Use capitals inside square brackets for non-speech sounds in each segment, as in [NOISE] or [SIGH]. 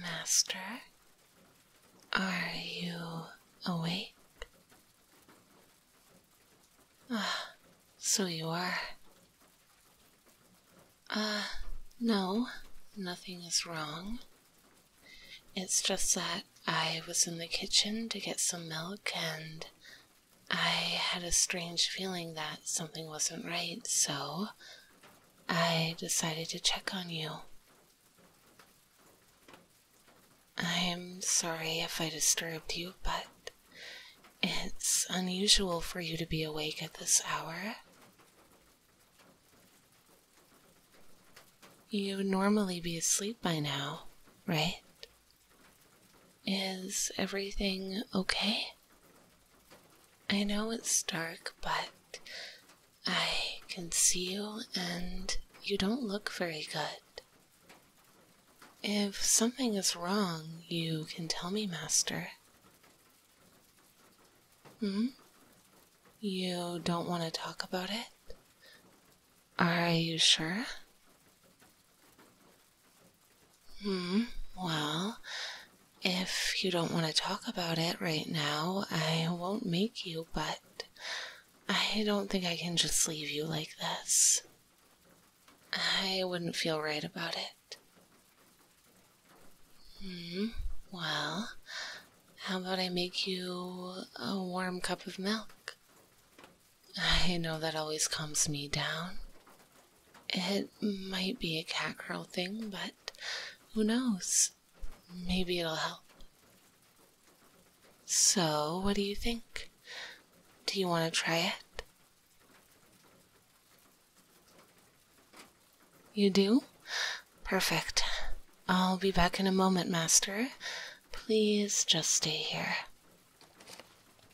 Master, are you awake? Ah, so you are. Ah, no, nothing is wrong. It's just that I was in the kitchen to get some milk and I had a strange feeling that something wasn't right, so I decided to check on you. I'm sorry if I disturbed you, but it's unusual for you to be awake at this hour. You would normally be asleep by now, right? Is everything okay? I know it's dark, but I can see you and you don't look very good. If something is wrong, you can tell me, Master. Hmm? You don't want to talk about it? Are you sure? Hmm, well, if you don't want to talk about it right now, I won't make you, but I don't think I can just leave you like this. I wouldn't feel right about it. Hmm, well, how about I make you a warm cup of milk? I know that always calms me down. It might be a cat curl thing, but who knows? Maybe it'll help. So, what do you think? Do you want to try it? You do? Perfect. I'll be back in a moment, Master. Please just stay here.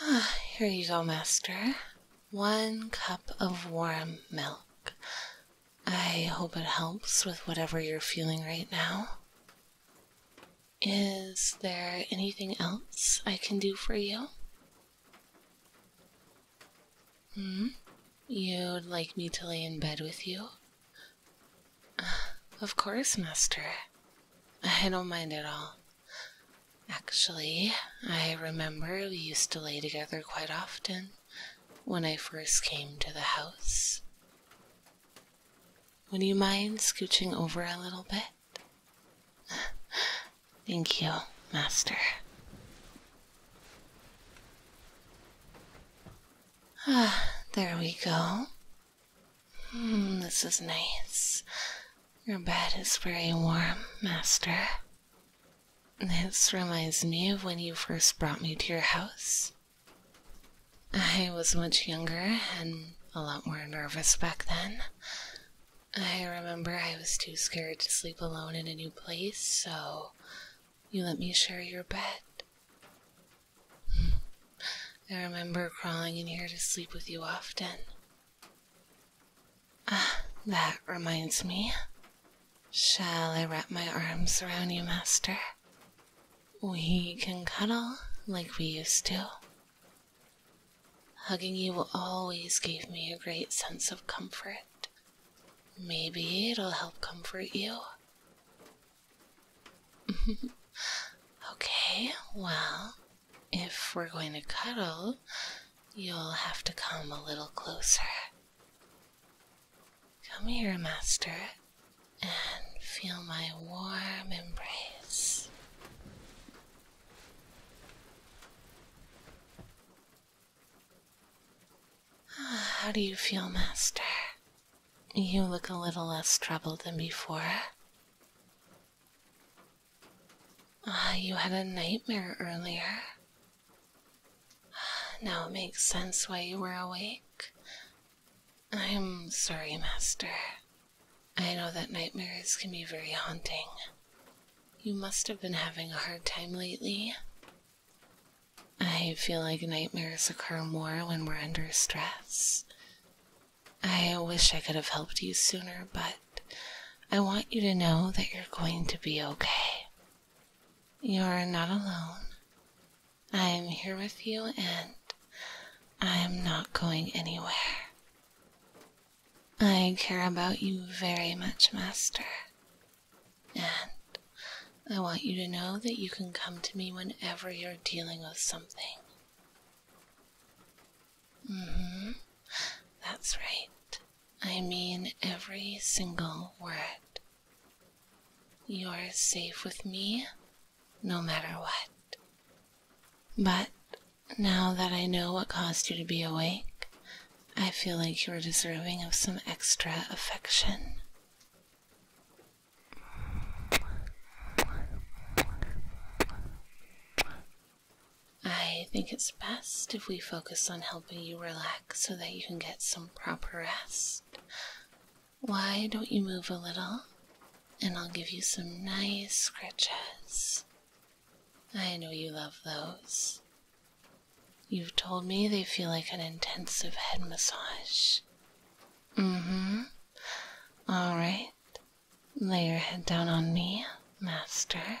[SIGHS] Here you go, Master. One cup of warm milk. I hope it helps with whatever you're feeling right now. Is there anything else I can do for you? Hmm? You'd like me to lay in bed with you? Of course, Master. I don't mind at all. Actually, I remember we used to lay together quite often when I first came to the house. Would you mind scooching over a little bit? Thank you, Master. Ah, [SIGHS] there we go. Hmm, this is nice. Your bed is very warm, Master. This reminds me of when you first brought me to your house. I was much younger and a lot more nervous back then. I remember I was too scared to sleep alone in a new place, so you let me share your bed. I remember crawling in here to sleep with you often. Ah, that reminds me. Shall I wrap my arms around you, Master? We can cuddle like we used to. Hugging you always gave me a great sense of comfort Maybe it'll help comfort you. [LAUGHS] okay, well, if we're going to cuddle, you'll have to come a little closer. Come here, Master, and feel my warm embrace. [SIGHS] How do you feel, Master? You look a little less troubled than before. Ah, you had a nightmare earlier. [SIGHS] Now it makes sense why you were awake. I'm sorry, Master. I know that nightmares can be very haunting. You must have been having a hard time lately. I feel like nightmares occur more when we're under stress. I wish I could have helped you sooner, but I want you to know that you're going to be okay. You're not alone. I'm here with you and I'm not going anywhere. I care about you very much, Master. And I want you to know that you can come to me whenever you're dealing with something. Mm-hmm. That's right. I mean every single word. You're safe with me, no matter what. But now that I know what caused you to be awake, I feel like you're deserving of some extra affection. I think it's best if we focus on helping you relax so that you can get some proper rest. Why don't you move a little and I'll give you some nice scratches? I know you love those. You've told me they feel like an intensive head massage. Mm hmm. Alright. Lay your head down on me, Master.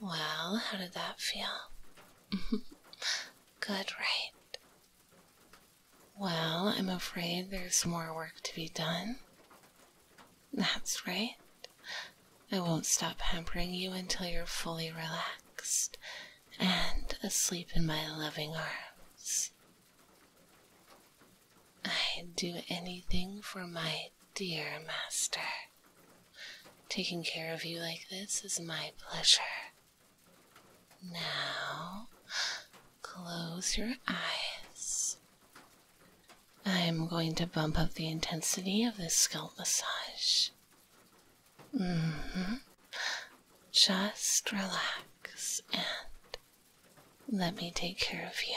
Well, how did that feel? [LAUGHS] Good, right? Well, I'm afraid there's more work to be done. That's right. I won't stop hampering you until you're fully relaxed and asleep in my loving arms. I'd do anything for my dear master. Taking care of you like this is my pleasure. Now, close your eyes. I am going to bump up the intensity of this scalp massage. Mm hmm. Just relax and let me take care of you.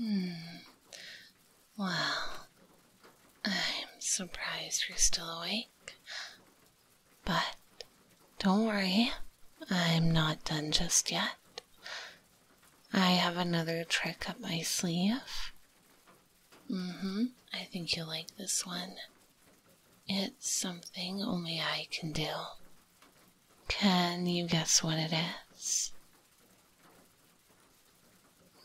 Hmm. Well, I'm surprised you're still awake. But don't worry, I'm not done just yet. I have another trick up my sleeve. Mm hmm, I think you'll like this one. It's something only I can do. Can you guess what it is?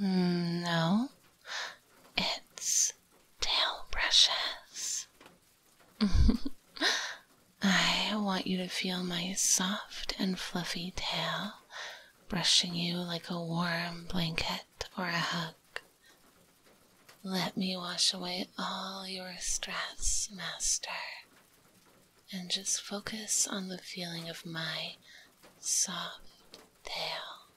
Mm, no, it's tail brushes. [LAUGHS] I want you to feel my soft and fluffy tail brushing you like a warm blanket or a hug. Let me wash away all your stress, Master, and just focus on the feeling of my soft tail.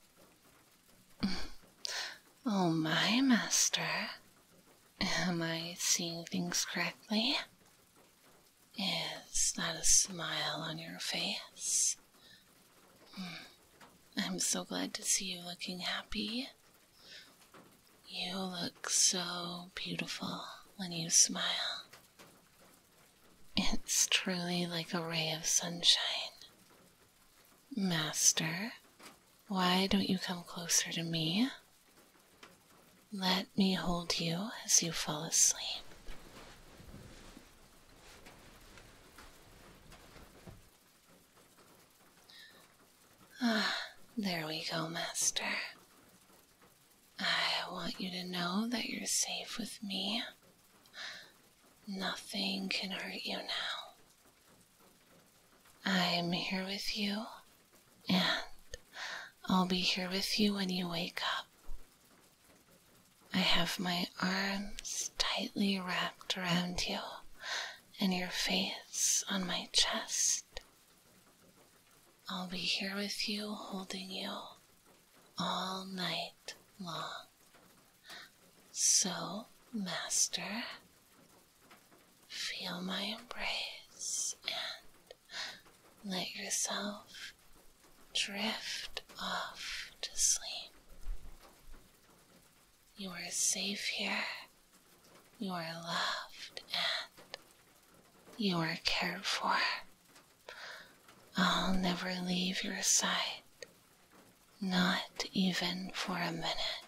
[SIGHS] Oh, my master. Am I seeing things correctly? Is that a smile on your face? Hmm. I'm so glad to see you looking happy. You look so beautiful when you smile. It's truly like a ray of sunshine. Master, why don't you come closer to me? Let me hold you as you fall asleep. Ah, there we go, Master. I want you to know that you're safe with me Nothing can hurt you now. I'm here with you, and I'll be here with you when you wake up. I have my arms tightly wrapped around you and your face on my chest. I'll be here with you, holding you all night long. So, Master, feel my embrace and let yourself drift off to sleep. You are safe here, you are loved, and you are cared for. I'll never leave your side, not even for a minute.